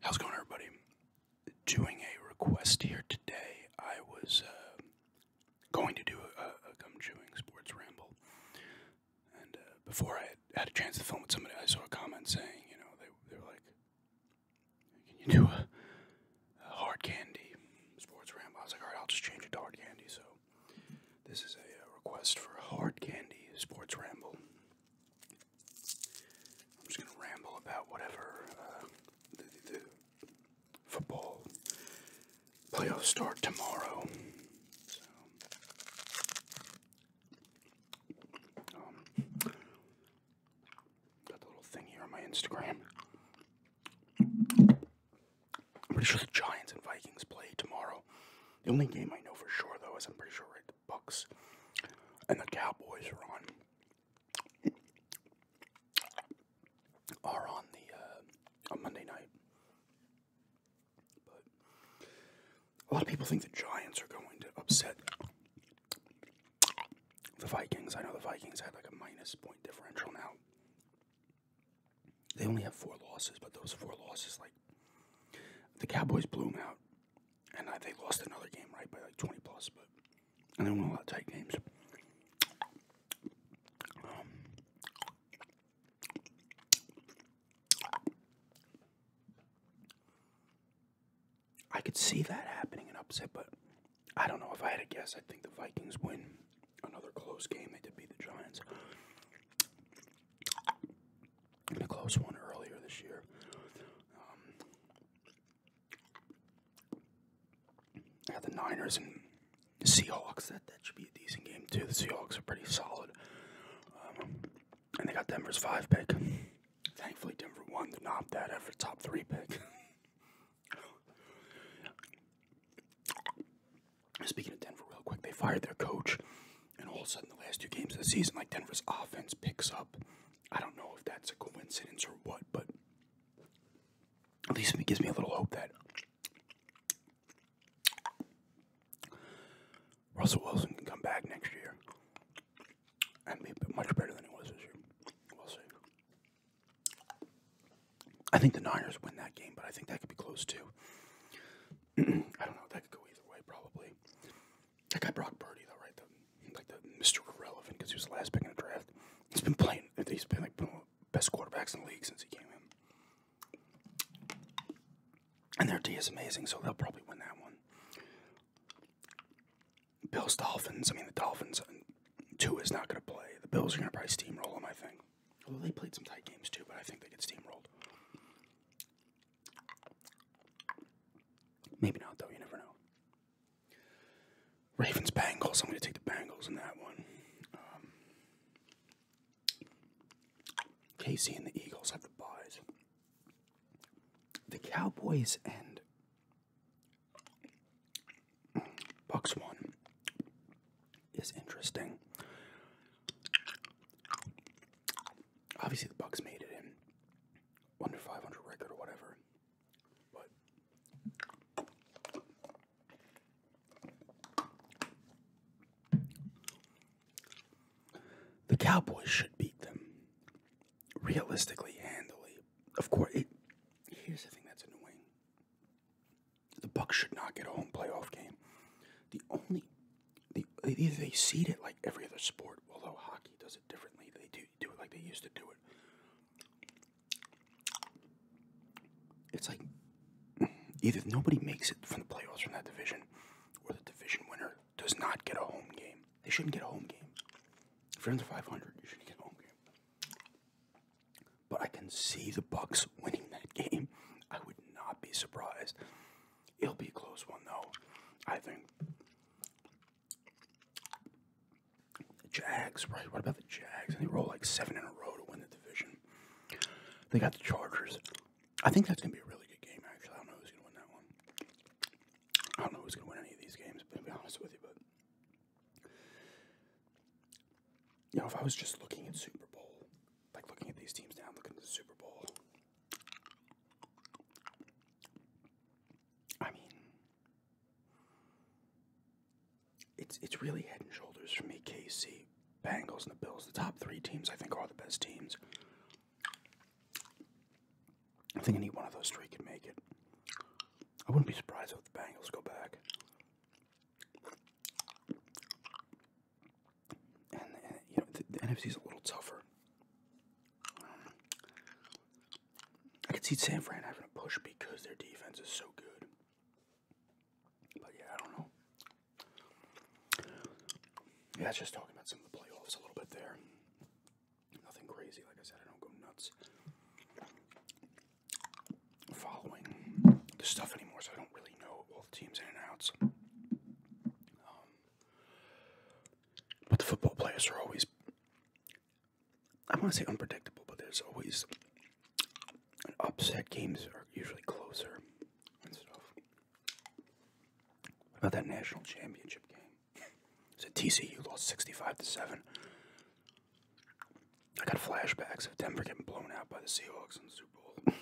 How's it going, everybody? Doing a request here today. I was uh, going to do a, gum chewing sports ramble, and uh, before I had, a chance to film with somebody, I saw a comment saying, you know, they, were like, "Can you do a hard candy sports ramble?" I was like, "All right, I'll just change it to hard candy." So this is a, uh, request for hard candy sports ramble. I'm just going to ramble about whatever uh, football playoffs start tomorrow. Um, got the little thing on my Instagram. I'm pretty sure the Giants and Vikings play tomorrow. The only game I know for sure, though, is I'm pretty sure right the Bucks and the Cowboys are on are on the uh, on Monday night. But a lot of people think the Giants are going to upset the Vikings. I know the Vikings had like a minus point differential now. They only have four losses, but those four losses, like the Cowboys blew them out, and they lost another game right by like twenty plus, but don't want a lot of tight games. I could see that happening an upset, but I don't know. If I had a guess, I think the Vikings win another close game. They did beat the Giants a close one earlier this year. I um, had the Niners and the Seahawks. That that should be a decent game too. The Seahawks are pretty solid, um, and they got Denver's five pick. Thankfully, Denver won to knock that after top three pick. Speaking of Denver, real quick, they fired their coach, and all of a sudden, the last two games of the season, like Denver's offense picks up. I don't know if that's a coincidence or what, but at least it gives me a little hope that Russell Wilson can come back next year and be much better than he was this year. We'll see. I think the Niners win that game, but I think that could be close too. I don't know. That could go either way, probably. That guy Brock Purdy, though, right? The, like the Mr. Irrelevant because he was the last pick in the draft. He's been playing. He's been like one of the best quarterbacks in the league since he came in. And their D is amazing, so they'll probably win that one. Bills Dolphins. I mean, the Dolphins. Uh, two is not going to play. The Bills are going to probably steamroll them. I think. Well, they played some tight games too, but I think they get steamrolled. Maybe not, though. You never know. Ravens Bengals. I'm going to take the Bengals in that one. Um, Casey and the Eagles have the buys. The Cowboys and Bucks one is interesting. Obviously, the Bucks made it in under 500 record or whatever, but the Cowboys should beat them realistically, handily. Of course, it, here's the thing that's annoying. The Bucks should not get a home playoff game. The only the, they seed it like every other sport, although hockey does it differently. They do do it like they used to do it. It's like either nobody makes it from the playoffs from that division, or the division winner does not get a home game. They shouldn't get a home game. If you're under 500, you should get a home game but I can see the Bucks winning that game. I would not be surprised. It'll be a close one though. I think the Jags, right? What about the Jags? And they roll like seven in a row to win the division. They got the Chargers. I think that's gonna be a really good game. Actually, I don't know who's gonna win that one. I don't know who's gonna win any of these games. But To be honest with you, but you know, if I was just looking at Super Bowl, like looking at these teams now, looking at the Super Bowl. I mean, it's it's really head and shoulders for me. KC, Bengals, and the Bills. The top three teams I think are all the best teams. I think any one of those three could make it. I wouldn't be surprised if the Bengals go back and, uh, you know the, NFC is a little tougher. I could see San Fran having a push because their defense is so good. But yeah, I don't know. Yeah, that's just talking about some of the playoffs a little bit there. Nothing crazy, like I said, I don't go nuts following the stuff anymore, so I don't really know all the teams in and outs. Um, but the football players are always, I want to say unpredictable, but there's always an upset. Games are usually closer about that national championship game? It's a TCU lost 65 to 7. I got flashbacks of Denver getting blown out by the Seahawks in Super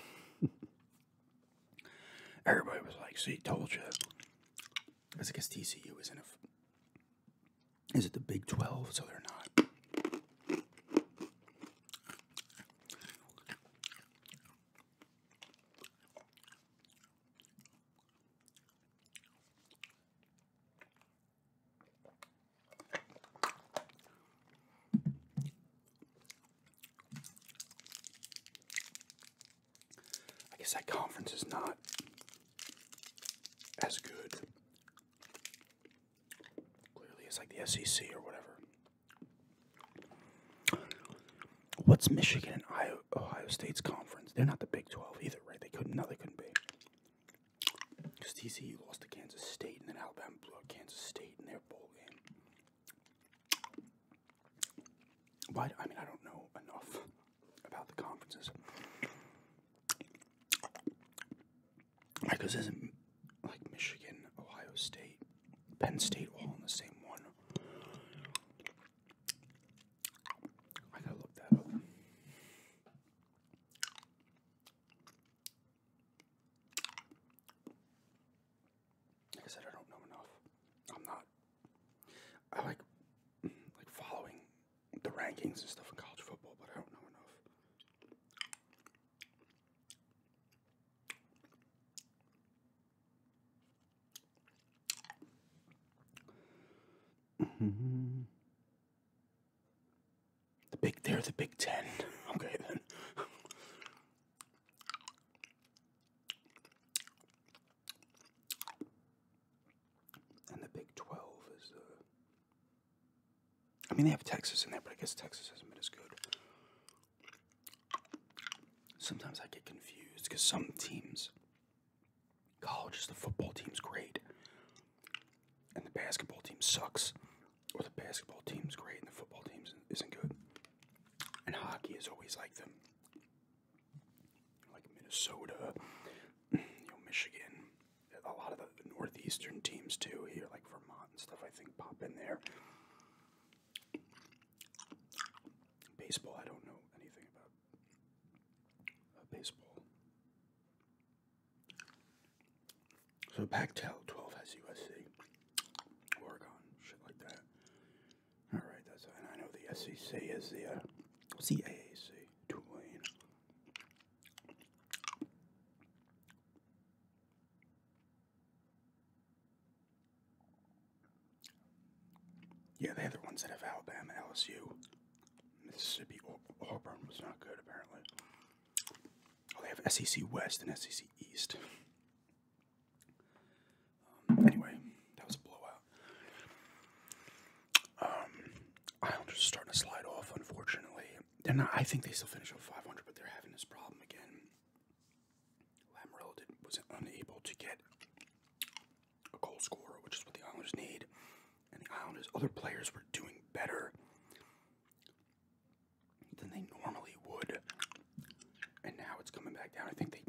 Bowl. Everybody was like, "See, told you." Because I guess TCU is in a. Is it the Big Twelve? So they're not. I guess that conference is not as good, clearly, it's like the SEC or whatever. What's Michigan and Ohio State's conference? They're not the Big 12 either, right? They couldn't, no, they couldn't be. Because TCU lost to Kansas State, and then Alabama blew out Kansas State in their bowl game. But I mean, I don't know enough about the conferences. Like isn't like Michigan, Ohio State, Penn State all in the same one. I gotta look that up. Like I said, I don't know enough. I'm not. I like like following the rankings and stuff in college football, but I don't know enough. The big, they're the Big Ten. Okay, then. And the Big 12 is uh, I mean, they have Texas in there, but I guess Texas hasn't been as good. Sometimes I get confused because some teams, college is the football team's great, and the basketball team sucks, or the basketball team's great and the football team isn't good. And hockey is always like them, like Minnesota, you know, Michigan, a lot of the northeastern teams too here, like Vermont and stuff. I think pop in there. Baseball, I don't know anything about baseball. So back to 12 has USC, Oregon, shit like that. All right, that's I know the SEC is the uh, Tulane. Yeah, they're the ones that have Alabama, LSU, Mississippi. Auburn was not good apparently. Oh, they have SEC West and SEC East. Um, anyway, that was a blowout. Um, Islanders are starting to slide off. Unfortunately, they're not. I think they still finish with 500, but they're having this problem again. Lamorello was unable to get a goal scorer, which is what the Islanders need. And the Islanders' other players were doing better than they normally would. And now it's coming back down. I think they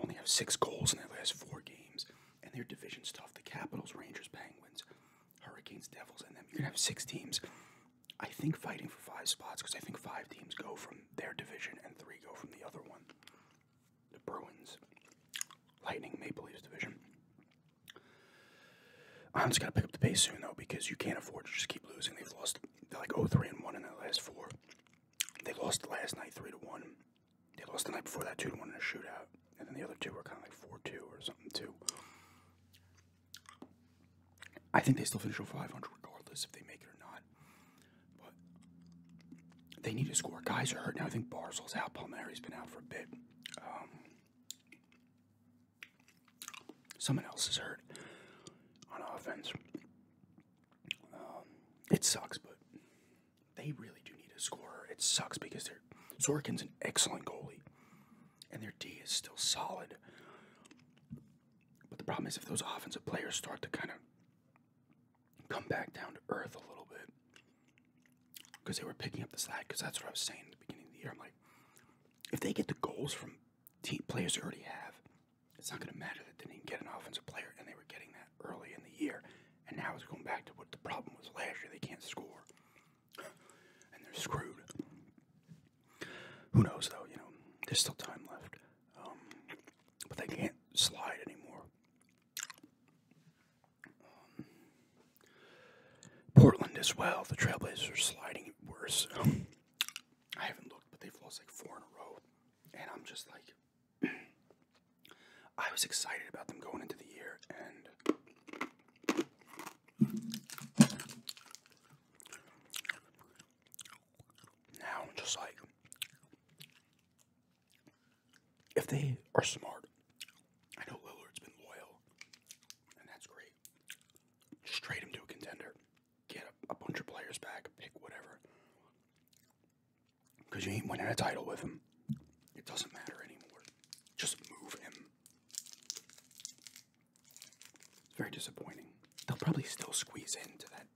only have six goals in their last four games. And their division stuff the Capitals, Rangers, Penguins, Hurricanes, Devils, and them. You're going to have six teams, I think, fighting for five spots because I think five teams go from their division and three go from the other one. The Bruins, Lightning, Maple Leafs division. I'm just gonna pick up the pace soon though because you can't afford to just keep losing. They've lost like 0-3 and one in their last four. They lost last night three to one. They lost the night before that two to one in a shootout, and then the other two were kind of like four two or something too. I think they still finish over 500 regardless if they make it or not. But they need to score. Guys are hurt now. I think Barzal's out. Palmieri's been out for a bit. Um, Someone else is hurt on offense. Um, it sucks, but they really do need a scorer. It sucks because they're Sorkin's an excellent goalie, and their D is still solid. But the problem is if those offensive players start to kind of come back down to earth a little bit, because they were picking up the slack. Because that's what I was saying at the beginning of the year. I'm like, if they get the goals from team players they already have, it's not going to matter that they didn't get an offensive player, and they were getting that early in the year. And now it's going back to what the problem was last year. They can't score, and they're screwed. Who knows though? You know, there's still time left, um, but they can't slide anymore. Um, Portland as well. The Trailblazers are sliding worse. I haven't looked, but they've lost like four in a row. And I'm just like, I was excited about them going into the year, and now I'm just like, if they are smart, I know Lillard's been loyal, and that's great. Curry. Just trade him to a contender. Get a, bunch of players back, pick whatever. Because you ain't winning a title with him. It doesn't matter anymore. Just move him. It's very disappointing. They'll probably still squeeze into that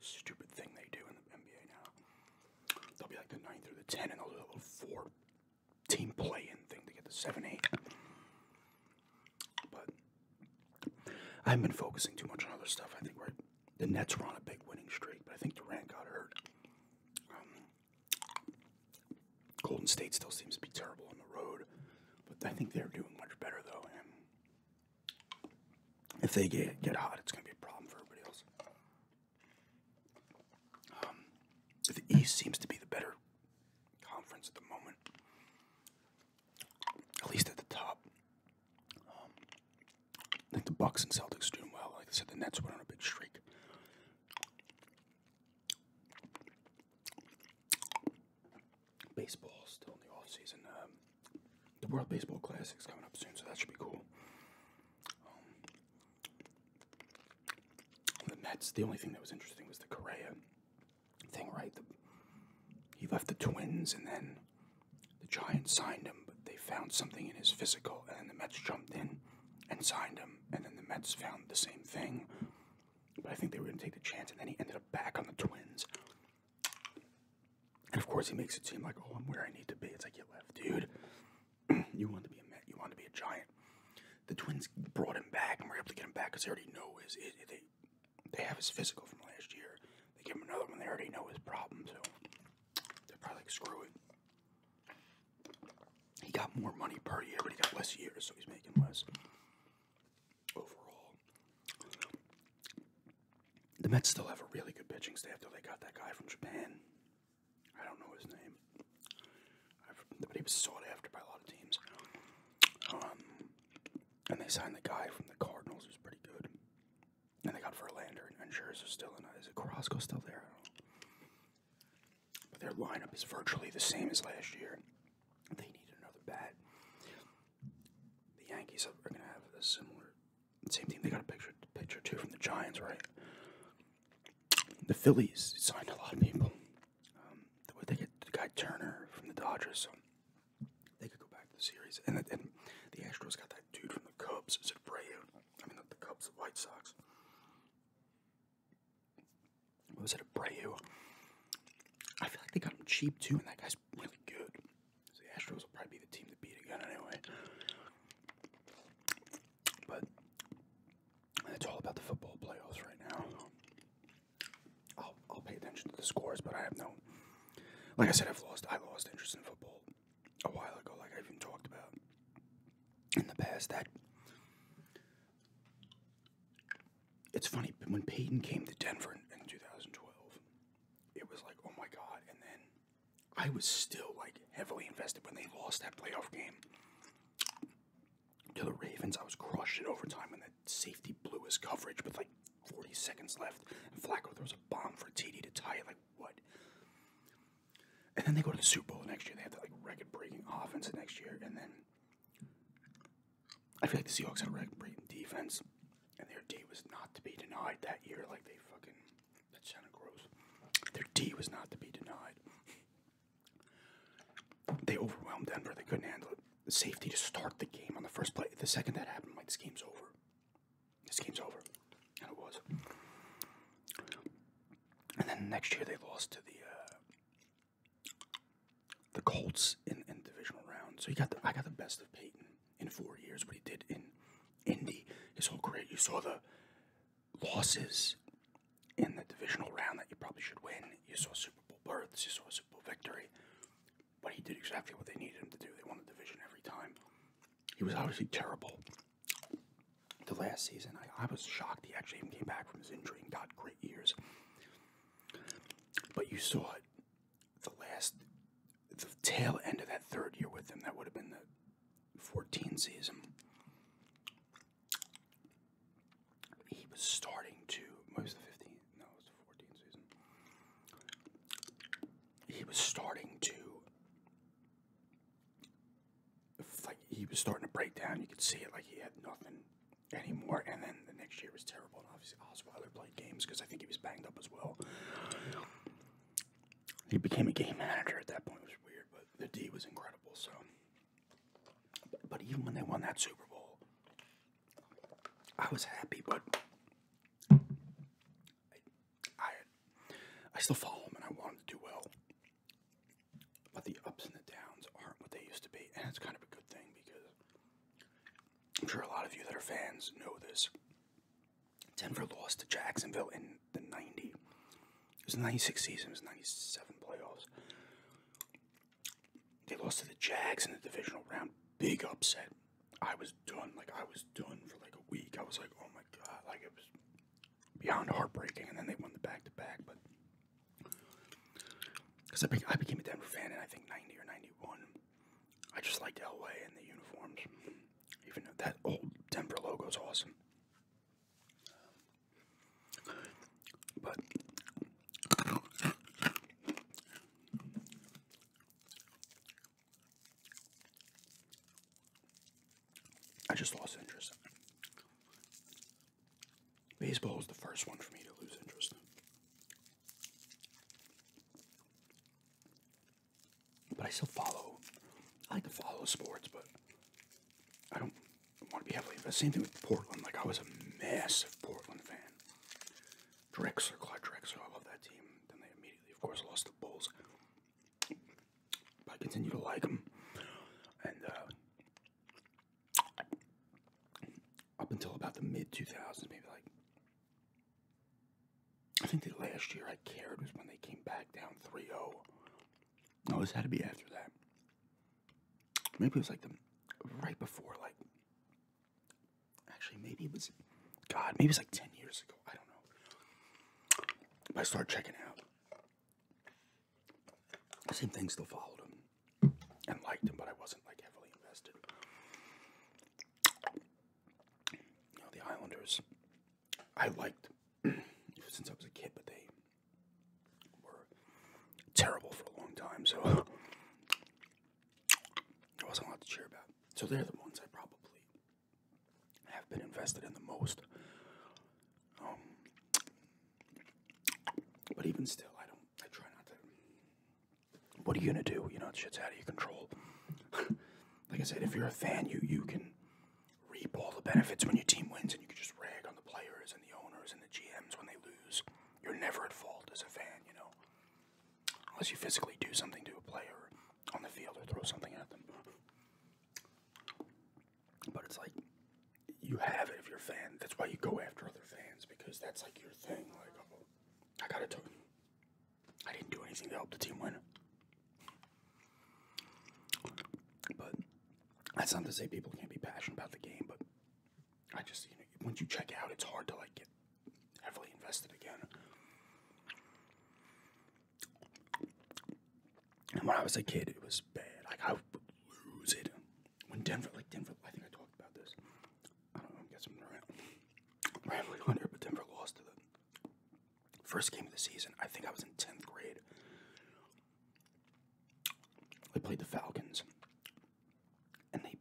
stupid thing they do in the NBA now. They'll be like the 9 or the tenth, and they'll be a little 4 team play in thing to get the 7 8. But I haven't been focusing too much on other stuff. I think the Nets were on a big winning streak, but I think Durant got hurt. Um, Golden State still seems to be terrible on the road, but I think they're doing much better, though. And if they get, get hot, it's going to be a problem for everybody else. Um, the East seems to be the better conference at the moment, at least at the top. Um, I think the Bucks and Celtics are doing well. Like I said, the Nets went on a big streak. Baseball still in the off season. Um, the World Baseball Classic is coming up soon, so that should be cool. Um, the Mets, the only thing that was interesting was the Correa thing, right? he left the Twins and then the Giants signed him, but they found something in his physical, and then the Mets jumped in and signed him, and then the Mets found the same thing. But I think they were going to take the chance, and then he ended up back on the Twins. And of course, he makes it seem like, oh, I'm where I need to be. It's like, you left, dude. you want to be a man, you want to be a giant. The Twins brought him back and were able to get him back because they already know his. they they have his physical from last year. They give him another one. They already know his problem, so they're probably like, screw it. He got more money per year, but he got less years, so he's making less overall. The Mets still have a really good pitching staff, though. They got that guy from Japan. I don't know his name, but he was sought after by a lot of teams. Um, and they signed the guy from the Cardinals who's pretty good. And they got Verlander and, and are still in. Is it Carrasco still there? But their lineup is virtually the same as last year. They need another bat. The Yankees are going to have a similar same thing. They got a picture picture too from the Giants, right? the Phillies signed a lot of people. Um, the way they get the guy Turner from the Dodgers, so they could go back to the series. And, the Astros got that dude from the Cubs, is it Abreu? I mean, the, Cubs, the White Sox. What was it, Abreu? I feel like they got him cheap too, and that guy's really good. So the Astros will probably be the team to beat again anyway. But it's all about the football playoffs right now. I'll, I'll pay attention to the scores, but I have no. Like I said, I've lost. I lost interest in football a while ago, like I even talked about in the past. That it's funny when Peyton came to Denver in, in 2012, it was like, oh my god! And then I was still like heavily invested when they lost that playoff game to the Ravens. I was crushed in overtime, and the safety blew his coverage with like 40 seconds left. And Flacco throws a bomb for TD to tie it. Like what? And then they go to the Super Bowl next year. They have that like record-breaking offense next year, and then I feel like the Seahawks had a record-breaking defense, and their D was not to be denied that year. Like they fucking that sounded gross. Their D was not to be denied. They overwhelmed Denver. They couldn't handle it. The safety to start the game on the first play. The second that happened, i like, this game's over. This game's over. And it was. And then next year they lost to the uh, the Colts in, in divisional round. So you got the, I got the best of Peyton in four years. What he did in Indy, his whole great. You saw the losses in the divisional round that you probably should win. You saw Super Bowl berths, you saw a Super Bowl victory, but he did exactly what they needed him to do. They won the division every time. He was obviously terrible the last season. I, I was shocked he actually even came back from his injury and got great years. But you saw it the last, the tail end of that third year with him. That would have been the 14 season he was starting to. was the 15th. No, it was the 14th season. He was starting to. Like he was starting to break down. You could see it. Like he had nothing anymore. And then the next year was terrible. And obviously Osweiler played games because I think he was banged up as well. He became a game manager at that point, which was weird. But the D was incredible. So but, even when they won that Super Bowl, I was happy, but I, I, I still follow them and I want them to do well. But the ups and the downs aren't what they used to be, and it's kind of a good thing because I'm sure a lot of you that are fans know this. Denver lost to Jacksonville in the 90. It was 96 season, it was 97 playoffs. They lost to the Jags in the divisional round. Big upset. I was done. Like, I was done for like a week. I was like, oh my God. Like, it was beyond heartbreaking. And then they won the back to back. But because I, became a Denver fan in I think 90 or 91. I just liked LA and the uniforms. Even that old Denver logo is awesome. But I just lost interest. Baseball was the first one for me to lose interest But I still follow. I like to follow sports, but I don't want to be heavily invested. Same thing with Portland. Like I was a massive Portland fan. Drexler, Clyde Drexler. I love that team. Then they immediately, of course, lost the Bulls. But I continue to like them. And uh, up until about the mid 2000s, maybe like I think the last year I cared was when they came back down 3-0 no, this had to be after that. Maybe it was like the right before, like actually, maybe it was God, maybe it was like 10 years ago. I don't know. I started checking out. same thing still followed him and liked him, but I wasn't like heavily invested. You know, the Islanders I liked since I was a kid, but they were terrible for a long time, so there wasn't a lot to cheer about. So they're the ones I probably have been invested in the most. Um, but even still, I don't. I try not to. What are you gonna do? You know, shit's out of your control. like I said, if you're a fan, you you can reap all the benefits when your team wins, and you can just rag on the players and the owners and the GMs when they lose. You're never at fault as a fan, you know, unless you physically do something to a player on the field or throw something at them. But it's like you have it if you're a fan. That's why you go after other fans because that's like your thing. Like, oh, I gotta do. I didn't do anything to help the team win. But that's not to say people can't be passionate about the game, but I just you know once you check out, it's hard to like get heavily invested again. And when I was a kid, it was bad. Like I would lose it when Denver, like Denver. I think I talked about this. I don't know. I'm guessing around. Rambling on here, but Denver lost to them. First game of the season, I think I was in 10th grade. I played the Falcons. And they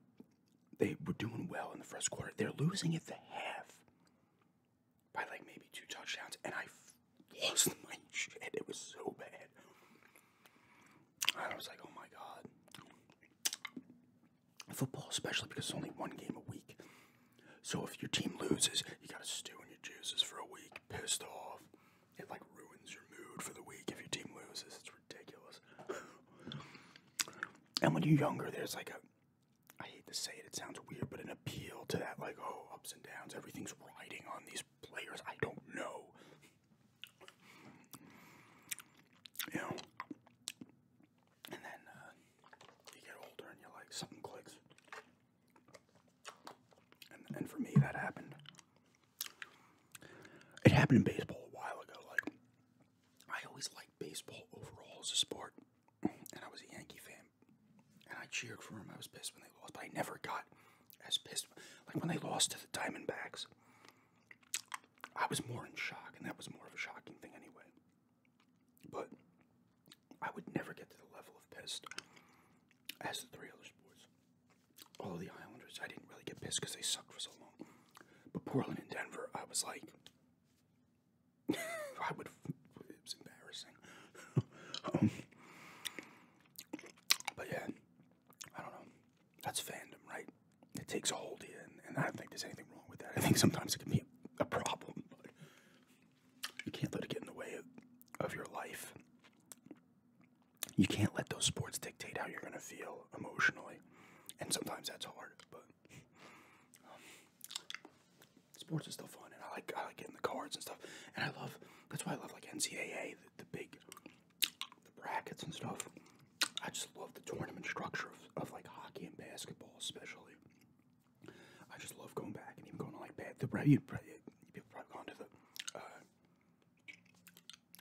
they were doing well in the first quarter. They're losing at the half by like maybe two touchdowns, and I lost my shit. It was so bad. I was like, oh my god. Football, especially because it's only one game a week. So if your team loses, you gotta stew in your juices for a week, pissed off. It like ruins your mood for the week if your team loses. It's ridiculous. and when you're younger, there's like a I hate to say it, it sounds weird, but an appeal to that like, oh, ups and downs, everything's riding on these players. I don't know. You know. And then uh, you get older and you like something clicks. And, for me, that happened. It happened in baseball a while ago. Like, I always liked baseball overall as a sport, and I was a Yankee fan, and I cheered for them. I was pissed when they lost, but I never got as pissed. Like when they lost to the Diamondbacks, I was more in shock, and that was more of a shocking thing anyway. But I would never get to the level of pissed as the three other sports. Although the Islanders, I didn't really get pissed because they sucked for so long. But Portland and Denver, I was like, I would. It embarrassing. Um, but yeah, I don't know. That's fandom, right? It takes a hold of you, and, I don't think there's anything wrong with that. I think sometimes it can be a, problem, you can't let it get in the way of, your life. You can't let those sports dictate how you're going to feel emotionally. And sometimes that's hard, but um, sports is still fun. And I like, I like getting the cards and stuff. And I love, that's why I love like NCAA, the, the big, the brackets and stuff. I just love the tournament structure of, of like hockey and basketball, especially. I just love going back and even going on like The you you've probably gone to the uh,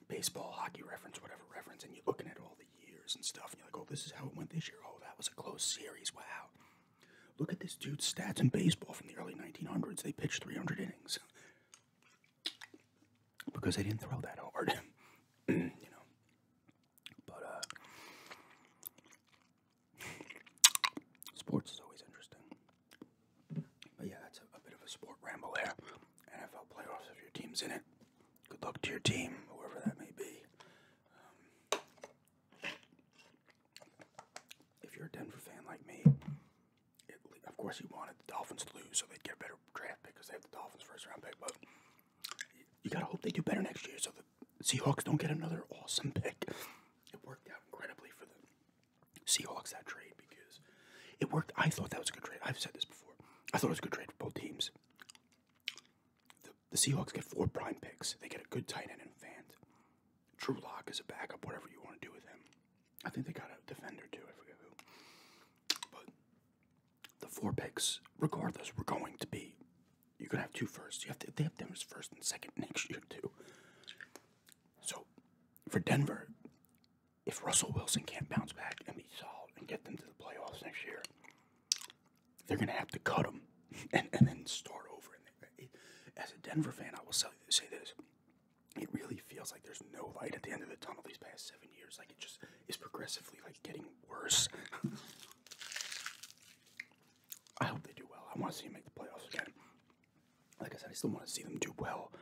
baseball, hockey reference, whatever reference, and you're looking at all the years and stuff, and you're like, oh, this is how it went this year. Oh, that was a close series. Wow. Look at this dude's stats in baseball from the early 1900s. They pitched 300 innings because they didn't throw that hard, you know. But uh, Sports is always interesting. But yeah, that's a, bit of a sport ramble there. NFL playoffs, if your team's in it, good luck to your team, whoever that may be. Um, if you're a Denver fan like me, of course you wanted the Dolphins to lose so they'd get a better draft pick because they have the Dolphins first round pick, but you, you gotta hope they do better next year so the Seahawks don't get another awesome pick. It worked out incredibly for the Seahawks that trade because it worked. I thought that was a good trade. I've said this before. I thought it was a good trade for both teams. The, Seahawks get four prime picks. They get a good tight end and Fant. True Lock is a backup, whatever you want to do with him. I think they got a defender too. I forget who. But the four picks, regardless, were going to be you're gonna have two first. You have to. They have them as first and second next year too. So, for Denver, if Russell Wilson can't bounce back and be solid and get them to the playoffs next year, they're gonna have to cut him and, and then start over. And as a Denver fan, I will say this: it really feels like there's no light at the end of the tunnel these past seven years. Like it just is progressively like getting worse. I hope they do well. I want to see them make the playoffs again. Like I said, I still want to see them do well.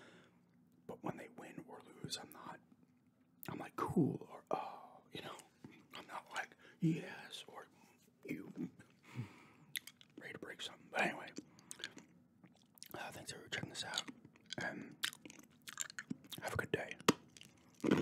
But when they win or lose, I'm not. I'm like cool or oh, you know. I'm not like yes or you ready to break something. But anyway, uh, thanks for checking this out, and have a good day.